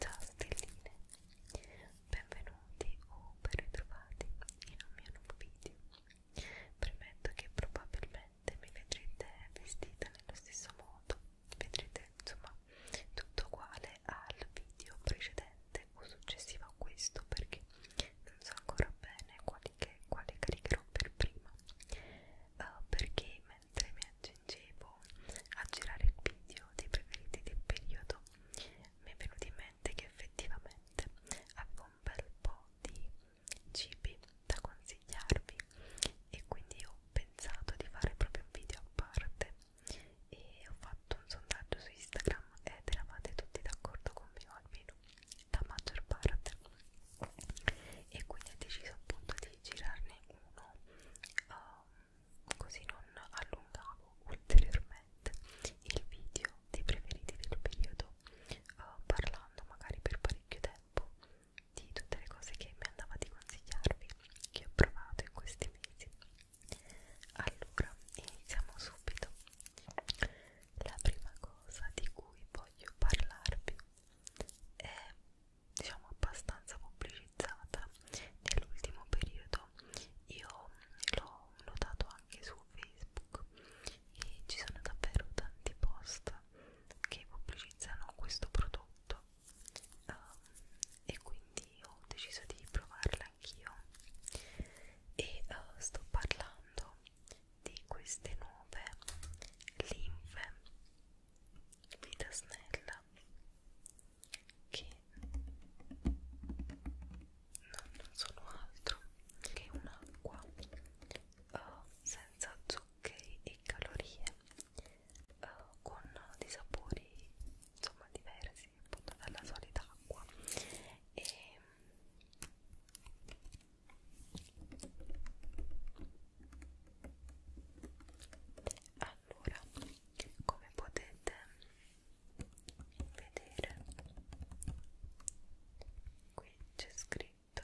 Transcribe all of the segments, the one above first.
Ciao stelline, benvenuti o ben ritrovati in un mio nuovo video. Premetto che probabilmente mi vedrete vestita nello stesso modo, vedrete insomma tutto uguale al video precedente o successivo a questo perché non so ancora bene qual metalliche quale caricherò per prima uh, perché mentre mi aggiungevo a girare il video dei preferiti del periodo mi è venuto in mente che effettivamente avevo un bel po' di cibi da consigliarvi e quindi ho pensato di fare proprio un video a parte e ho fatto un sondaggio su Instagram ed eravate tutti d'accordo con me o almeno la maggior parte e quindi ho deciso appunto di girarne uno uh, così non allungavo ulteriormente il video dei preferiti del periodo uh, parlando magari per parecchio tempo di tutte le cose che mi andava di consigliarvi che ho provato in questi mesi allora iniziamo subito la prima cosa di cui voglio voglio parlarvi è diciamo abbastanza pubblicizzata nell'ultimo periodo io l'ho notato anche su Facebook e ci sono davvero tanti post che pubblicizzano questo prodotto um, e quindi ho deciso di provarla anch'io e uh, sto parlando di queste nuove linfe vita snella che non, non sono altro che un'acqua uh, senza zuccheri e calorie uh, con dei sapori insomma diversi appunto dalla solita acqua e allora come potete vedere qui c'è scritto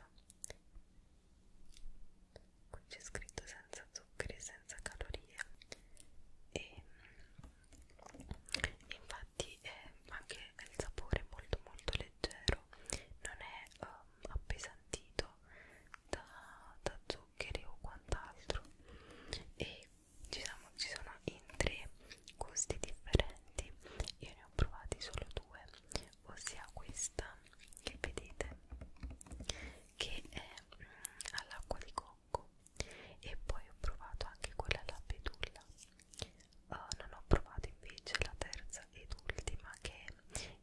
qui c'è scritto senza zuccheri e senza calorie e infatti quindi eh, anche il sapore è molto molto leggero non è um, appesantito da, da zuccheri o quant'altro e ci sono, ci sono in tre gusti differenti io ne ho provati solo due ossia questa che vedete che è mm, all'acqua di cocco e poi ho provato anche quella alla betulla Oh, non ho provato invece la terza ed ultima che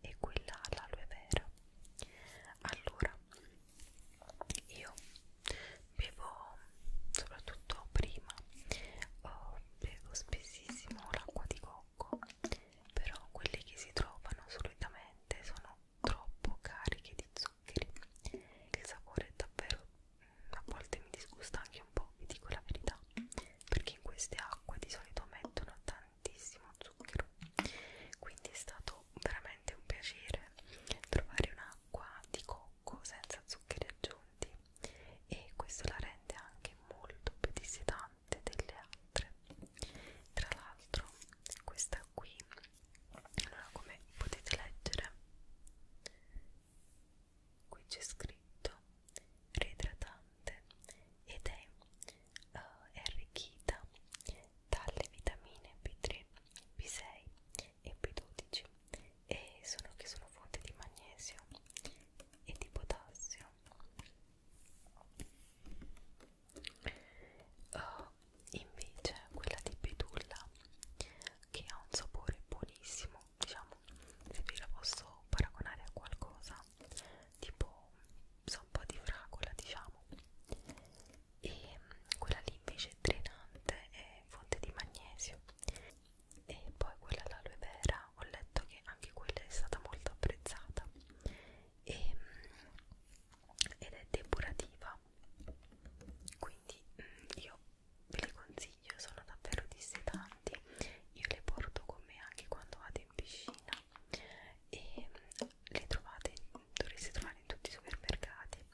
è quella all'aloe vera. Allora, io bevo soprattutto prima, oh, bevo spessissimo l'acqua di cocco, però quelle che si trovano solitamente sono troppo cariche di zuccheri. Il sapore è davvero a volte mi disgusta anche un po', vi dico la verità, perché in queste acque di solito mettono tantissimo zucchero, quindi è stato veramente un piacere trovare un'acqua di cocco senza zuccheri aggiunti e questo la rende anche molto più dissetante delle altre. Tra l'altro questa qui, allora come potete leggere qui c'è scritto reidratante ed è, uh, è arricchita dalle vitamine B3, B6 e B12 e sono che sono fonte di magnesio e di potassio uh, invece quella di betulla che ha un sapore buonissimo diciamo, diciamo, se vi la posso paragonare a qualcosa tipo, so, un po' di fragola, diciamo e quella lì invece è drenante è fonte di magnesio e poi quella all'aloe vera ho letto che anche quella è stata molto apprezzata e, ed è depurativa quindi mm, io ve le consiglio, sono davvero dissetanti. Io le porto con me anche quando vado in piscina e mm, le trovate, dovreste trovare in tutti i supermercati.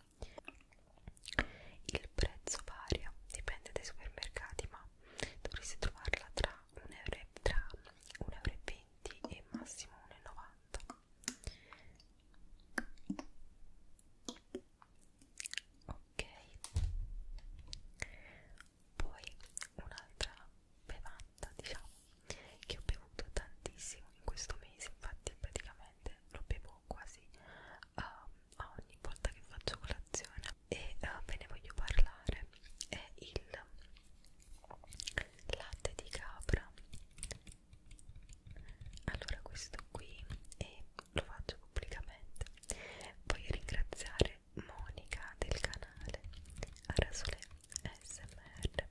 Il prezzo varia, dipende dai supermercati, ma dovreste trovarla tra 1,20 euro, tra 1 euro e, e massimo 1,90 euro ok poi un'altra bevanda diciamo che ho bevuto tantissimo in questo mese infatti praticamente lo bevo quasi uh, ogni volta che faccio colazione e uh, ve ne voglio parlare è il latte di capra allora questo qui è lo faccio pubblicamente voglio ringraziare Monica del canale Arasole SMR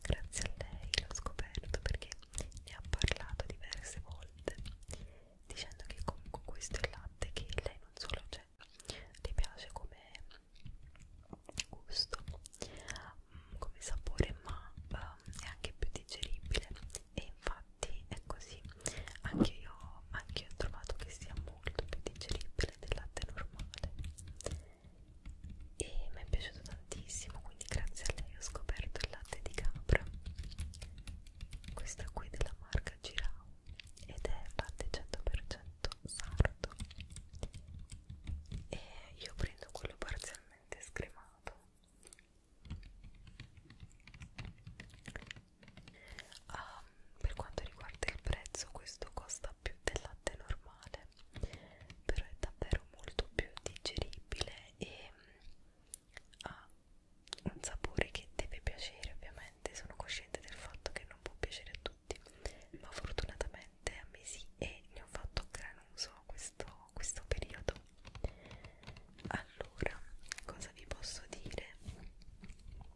grazie a lei l'ho scoperto perché ne ha parlato diverse volte dicendo che comunque questo è il latte che lei non solo c'è cioè, le piace come gusto come sapore ma um, è anche più digeribile e infatti infatti è così anche io, anche io ho trovato che sia molto più digeribile del latte normale e mi è piaciuto tantissimo quindi grazie a lei ho scoperto il latte di capra questa qui della marca Girao ed è latte 100% sardo e io prendo quello parzialmente scremato Ah, per quanto riguarda il prezzo, questo costa più del latte normale, però è davvero molto più digeribile e mm, ha un sapore che deve piacere, ovviamente. Sono cosciente del fatto che non può piacere a tutti, ma fortunatamente a me sì, e ne ho fatto gran uso questo, questo periodo allora cosa vi posso dire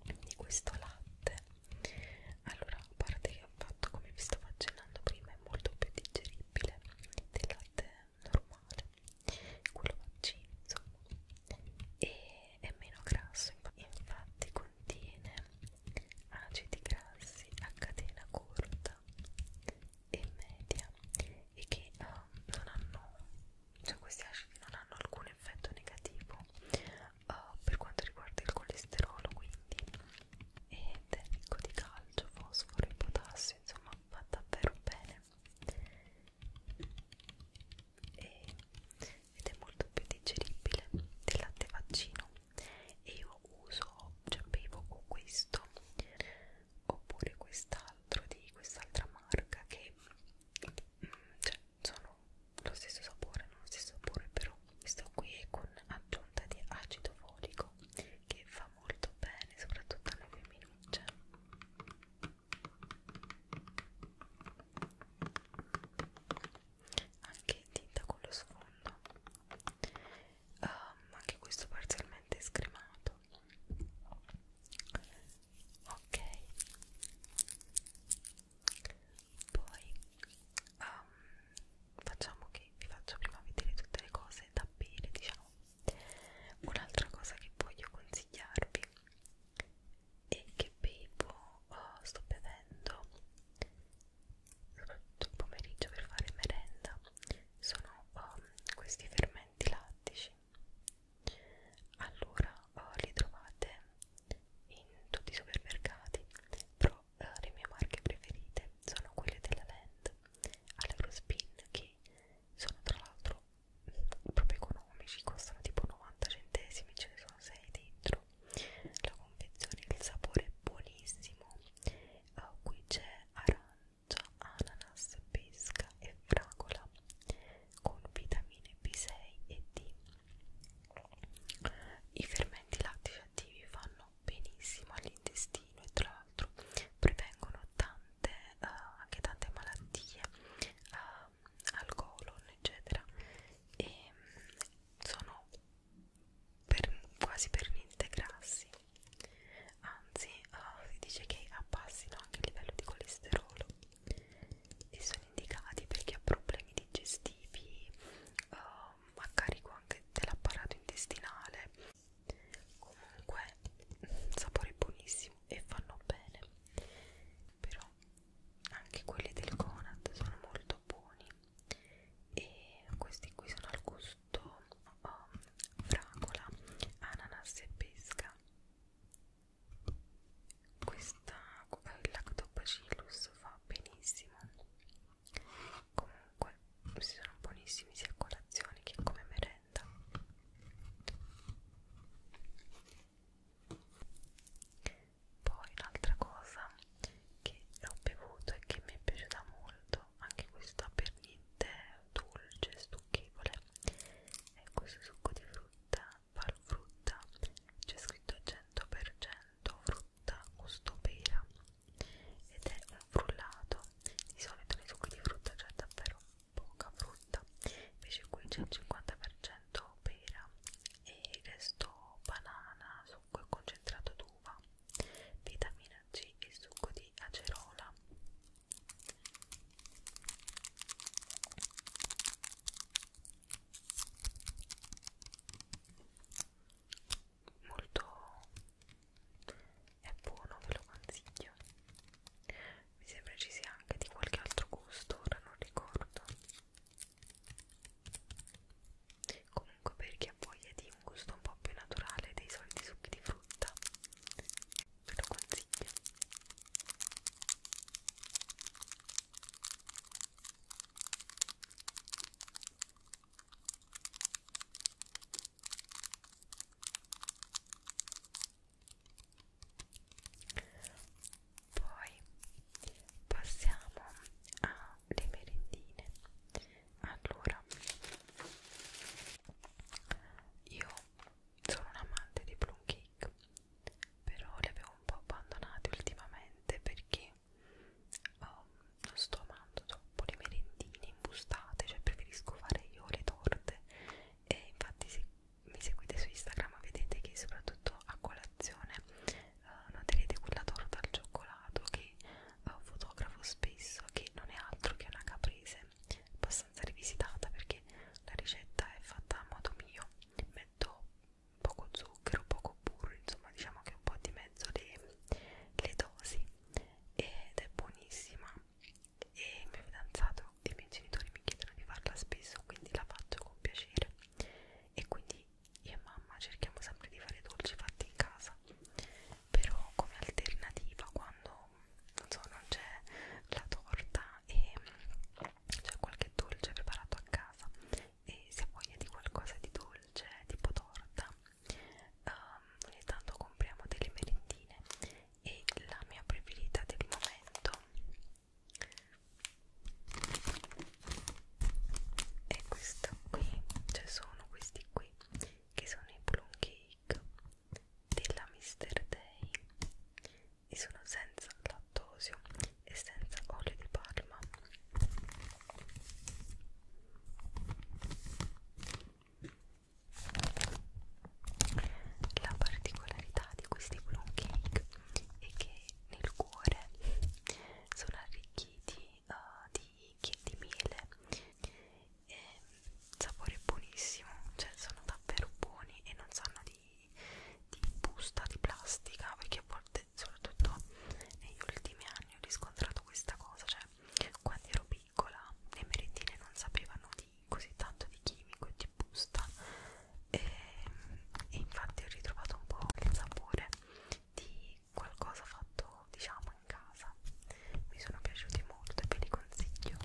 di questo latte allora a parte che ho fatto come vi stavo accennando prima è molto più digeribile del latte normale quello vaccino insomma e è meno grasso infatti contiene acidi grassi a catena corta e media e che uh, non hanno cioè questi acidi non hanno alcun effetto negativo uh, per quanto riguarda il colesterolo quindi ed è ricco di calcio, fosforo e potassio insomma va davvero bene e, ed è molto più digeribile del latte vaccino e io uso, cioè bevo con questo oppure quest'altro di quest'altra marca che mm, cioè, sono lo stesso sapore, non lo stesso sapore però questo qui è con aggiunta di acido folico che fa molto bene soprattutto alle femminucce anche tinta con lo sfondo um, anche questo parzialmente scremato ok poi um, facciamo che vi faccio prima vedere tutte le cose da bere diciamo un'altra cosa che voglio consigliarvi e che bevo oh, sto bevendo soprattutto il pomeriggio per fare merenda sono um, questi fermenti lattici allora oh, li trovate in tutti i supermercati però eh, le mie marche preferite sono quelle della Land all'Eurospin che sono tra l'altro proprio economici costano tipo 90 centesimi ce ne sono 6 dentro la confezione il sapore è buonissimo uh, qui c'è aran orzo, ananas, pesca e fragola con vitamine B6 e D. I fermenti lattici attivi fanno benissimo all'intestino e tra l'altro prevengono tante, uh, anche tante malattie uh, al colon, eccetera. E um, sono per, quasi per niente grassi anzi uh, si dice che abbassino anche il livello di colesterolo e sono indicati per chi ha problemi digestivi uh, eh, a carico anche dell'apparato intestinale comunque mm, sapore buonissimo e fanno bene però anche quelli del Conad sono molto buoni e questi qui sono al gusto um, fragola, ananas e pesca questa il lactobacillus fa benissimo comunque si sono buonissimi sia a colazione che come merenda poi un'altra cosa che ho bevuto e che mi è piaciuta molto anche questa per niente dolce, stucchevole e questo succo di frutta, far frutta, c'è scritto 100% frutta gusto pera ed è un frullato, di solito nei succhi di frutta c'è davvero poca frutta, invece qui c'è il 50% pera e il resto banana, succo e concentrato d'uva, vitamina C e succo di acerola molto è buono ve lo consiglio mi sembra ci sia anche di qualche altro gusto ora non ricordo comunque per chi ha voglia di un gusto un po' più naturale dei soliti succhi di frutta ve lo consiglio poi passiamo alle merendine allora io sono un amante dei plum cake però li avevo un po' abbandonati ultimamente perché oh, non sto amando troppo le merendine imbustate cioè preferisco fare io le torte e infatti se mi seguite su Instagram vedete che soprattutto a colazione eh, uh, noterete quella torta al cioccolato che eh, fotografo spesso che non è altro che una caprese abbastanza rivisitata perché la ricetta è fatta a modo mio metto poco zucchero, poco burro, insomma diciamo che un po' di mezzo le, le dosi ed è buonissima e il mio fidanzato e i miei genitori mi chiedono di farla spesso quindi la faccio con piacere e quindi io e mamma cerchiamo sempre di fare dolci fatti in casa però come alternativa quando non so, non c'è la torta e c'è qualche dolce preparato a casa e se hai voglia di qualcosa di dolce, tipo torta, um, ogni tanto compriamo delle merendine e la mia preferita del momento è questa qui, cioè sono questi qui che sono i plum cake della Mr. Day e sono senza lattosio e senza olio di palma la particolarità di questi plum cake è che nel cuore sono arricchiti uh, di, di miele e ehm, sapore buonissimo, cioè sono davvero buoni e non sanno di, di busta, di plastica, perché a volte, soprattutto negli ultimi anni, ho riscontrato questa cosa, cioè quando ero piccola le merendine non sapevano di così tanto di chimico e di busta e, ehm, e infatti ho ritrovato un po' il sapore di qualcosa fatto diciamo in casa mi sono piaciuti molto e ve li consiglio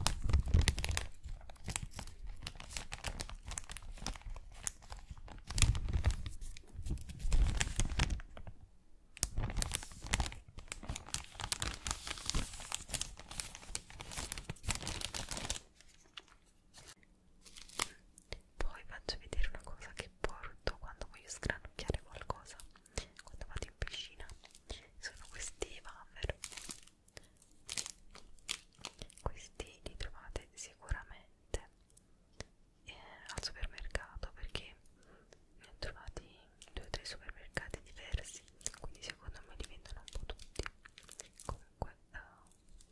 poi faccio vedere una cosa che porto quando voglio sgranocchiare qualcosa quando vado in piscina sono questi wafer questi li trovate sicuramente eh, al supermercato perché ne ho trovati in due o tre supermercati diversi quindi secondo me li vendono un po' tutti comunque eh,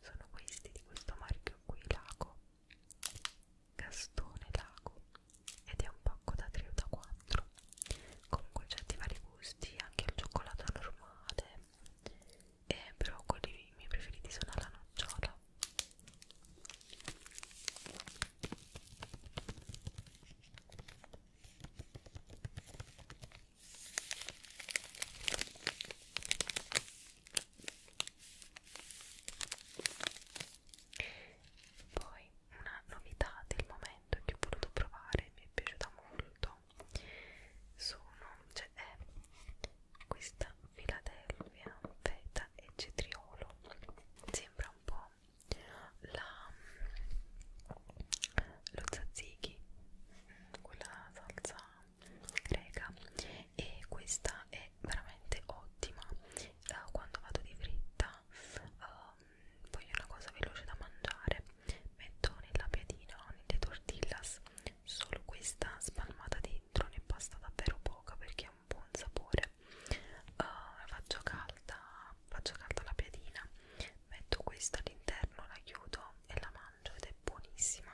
sono questi di questo marchio qui Lago Gastone Lago ed è un pacco da 3 o da 4 con dolcetti vari gusti, anche il cioccolato normale, e eh, però quelli miei preferiti sono alla nocciola. Poi una novità del momento che ho voluto provare mi è piaciuta molto sono cioè è questa Philadelphia feta e cetriolo sembra un po' la lo tzatziki quella salsa greca e questa è veramente ottima uh, quando vado di fritta uh, eh, voglio una cosa veloce da mangiare metto nella piadina o nelle tortillas solo questa spalmata dentro ne basta davvero poca perché ha un buon sapore uh, faccio calda faccio calda la piadina metto questa all'interno la chiudo e la mangio ed è buonissima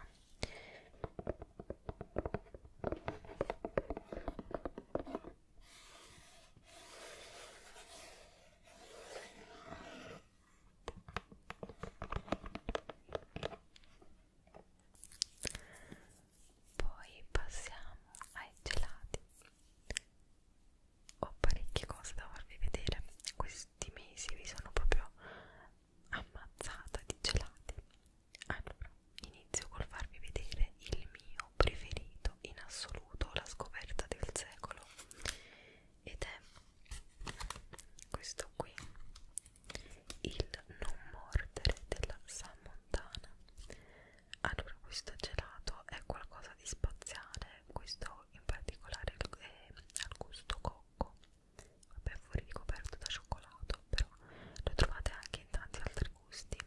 poi passiamo ai gelati. Ho parecchie cose da farvi vedere. Questi mesi vi sono proprio ammazzata di gelati. Allora, inizio col farvi vedere il mio mio preferito in assoluto, la scoperta del secolo ed è questo qui il non mordere della Sammontana allora questo gelato è qualcosa di spaziale questo in particolare è al gusto cocco vabbè fuori ricoperto da cioccolato però lo trovate anche in tanti altri gusti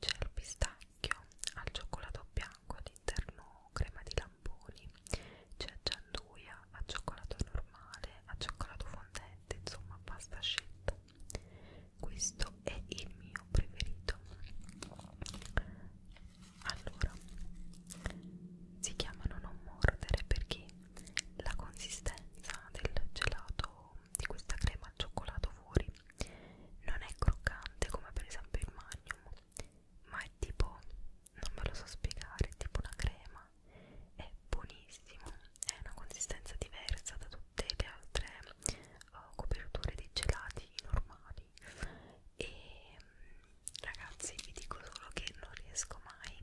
c'è il pistacchio vecchio al cioccolato bianco all'interno crema di lamponi c'è cioè gianduia a cioccolato normale a cioccolato fondente insomma pasta scelta questo è il mio preferito allora si chiamano non mordere perché la consistenza del gelato di questa crema al cioccolato fuori non è croccante come per esempio il magnum ma è tipo non ve lo so spiegare è tipo una crema è buonissimo è una consistenza diversa da tutte le altre uh, coperture di gelati normali e mm, ragazzi vi dico solo che non riesco mai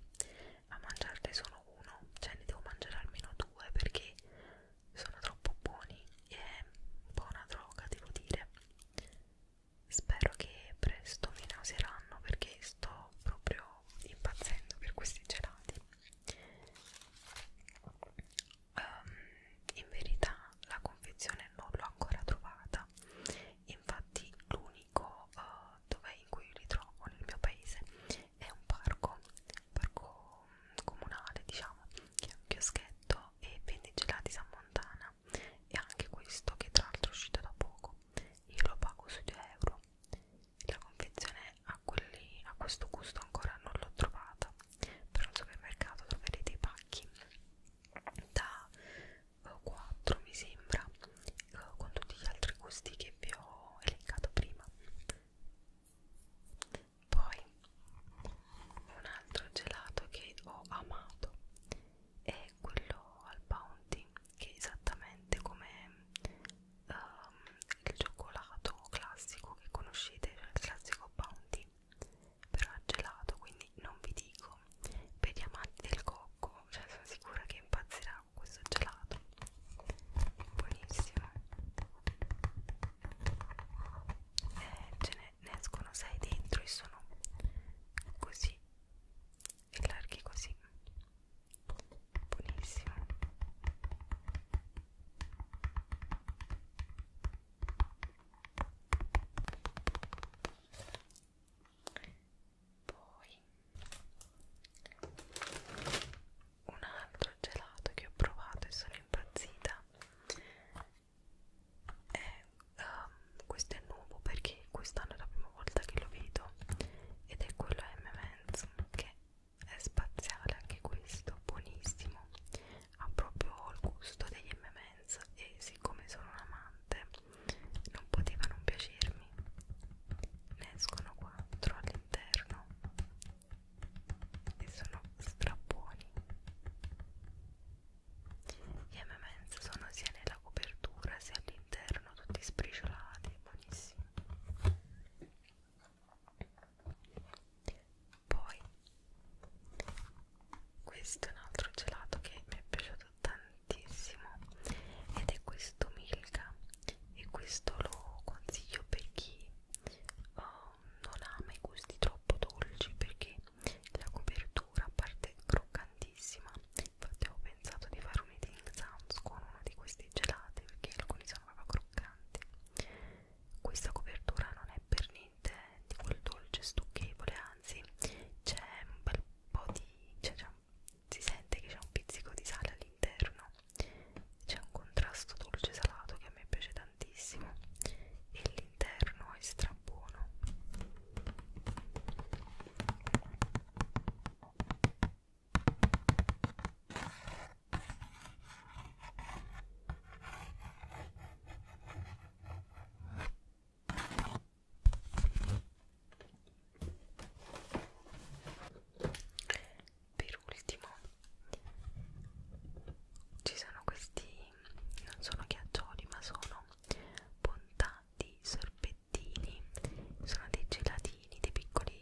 a mangiarne solo uno cioè ne devo mangiare almeno due perché sono troppo buoni è un po' una droga devo dire spero che presto mi nauseranno perché sto proprio impazzendo per questi gelati um, in verità la confezione non l'ho ancora trovata infatti l'unico uh, dove in cui li trovo nel mio paese è un parco un parco comunale diciamo che è un chioschetto e vende gelati San Montana e anche questo che tra l'altro è uscito da poco io lo pago sui 2 euro la confezione a, quelli, a questo gusto ancora non l'ho trovata però al supermercato troverete i pacchi da 4 eh, mi sembra eh, con tutti gli altri gusti che vi ho elencato prima poi un altro gelato che ho amato è quello al bounty che è esattamente come um, il cioccolato classico che conoscete cioè il classico bounty però è gelato quindi non vi dico per gli amanti del cocco cioè sono sicura che impazzirà con questo gelato buonissimo e ce n'è ne, ne escono 6 dentro e sono così e larghi così buonissimo poi un altro gelato che ho provato e sono impazzita è, eh, um, questo è nuovo perché quest'anno è la prima volta che lo vedo ed è quello M-Men's che è spaziale anche questo, buonissimo ha proprio il gusto degli M-Men's e siccome sono un amante non poteva non piacermi ne escono quattro all'interno e sono strabuoni gli M&M's sono sia nella copertura sia all'interno tutti spriciolati buonissimi poi questo è un altro gelato che mi è piaciuto tantissimo ed è questo Milka e questo lo consiglio per chi oh, non ama i gusti troppo dolci perché la copertura a parte croccantissima infatti ho pensato di fare un eating sounds con uno di questi gelati perché alcuni sono proprio croccanti questa copertura non è per niente di quel dolce stucchevole anzi c'è un bel po' di cioè, si sente che c'è un pizzico di sale all'interno c'è un contrasto dolce salato che a me piace da tantissimo e l'interno è strabuono per ultimo ci sono questi non sono ghiaccioli ma sono bontà di sorbettini sono dei gelatini, dei piccoli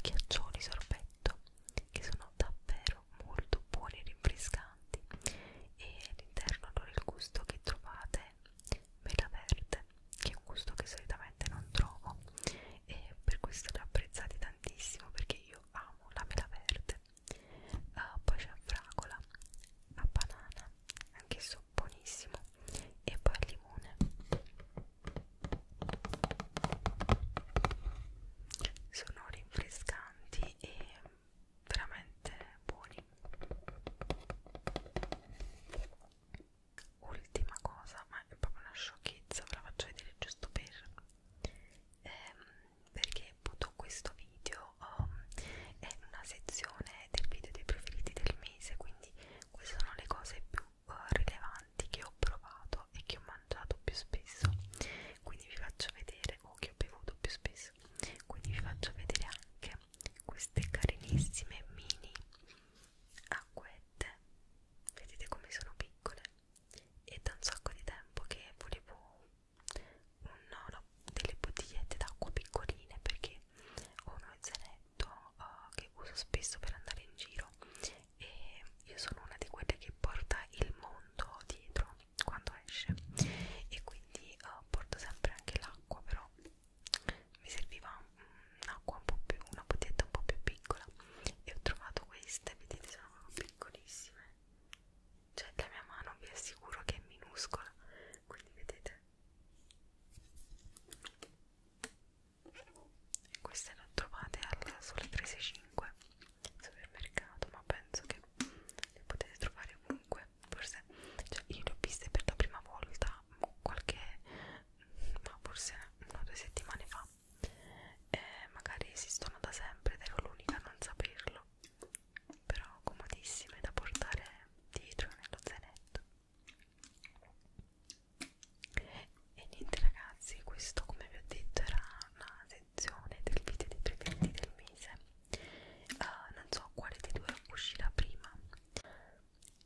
ghiaccioli sorbetto che sono davvero molto buoni e rinfrescanti e all'interno allora il gusto che trovate mela verde che è un gusto che solitamente non trovo e per questo li ho apprezzati tantissimo perché io amo la mela verde uh, poi c'è a fragola, a banana, anch'esso buonissimo, e poi al limone. Sono rinfrescanti e veramente buoni. Ultima cosa, ma è proprio una sciocchezza, ve la faccio vedere giusto per. Ehm, perché appunto questo video um, è una sezione del video dei preferiti del mese quindi queste sono le cose più uh, rilevanti che ho provato e che ho mangiato più spesso quindi vi faccio vedere o che ho bevuto più spesso quindi vi faccio vedere anche queste carinissime mini acquette vedete come sono piccole è da un sacco di tempo che volevo una, delle bottigliette d'acqua piccoline perché ho uno zainetto uh, eh, che uso spesso per andare in giro e io sono una di quelle che porta il mondo dietro quando esce e quindi uh, porto sempre anche l'acqua però mi serviva un'acqua un po' più una bottiglietta un po' più piccola e ho trovato queste vedete sono piccolissime cioè la mia mano vi assicuro che è minuscola quindi vedete e queste le trovate alla sole 13,5 supermercato ma penso che le potete trovare ovunque forse cioè io le ho viste per la prima volta qualche ma forse una o due settimane fa e eh, magari esistono da sempre ed ero l'unica a non saperlo però comodissime da portare dietro nello zainetto e niente ragazzi questo come vi ho detto era una sezione del video dei preferiti del mese uh, non so quale dei due uscirà prima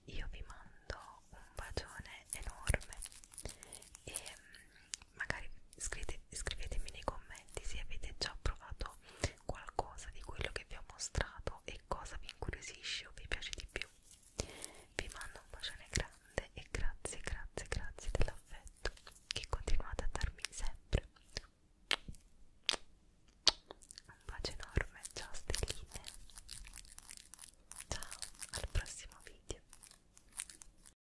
io vi mando un bacione enorme e magari scrivete, scrivetemi nei commenti se avete già provato qualcosa di quello che vi ho mostrato e cosa vi incuriosisce o vi piace di più vi mando un bacione grande e grazie grazie grazie dell'affetto che continuate a darmi sempre un bacio enorme ciao stelline ciao al prossimo video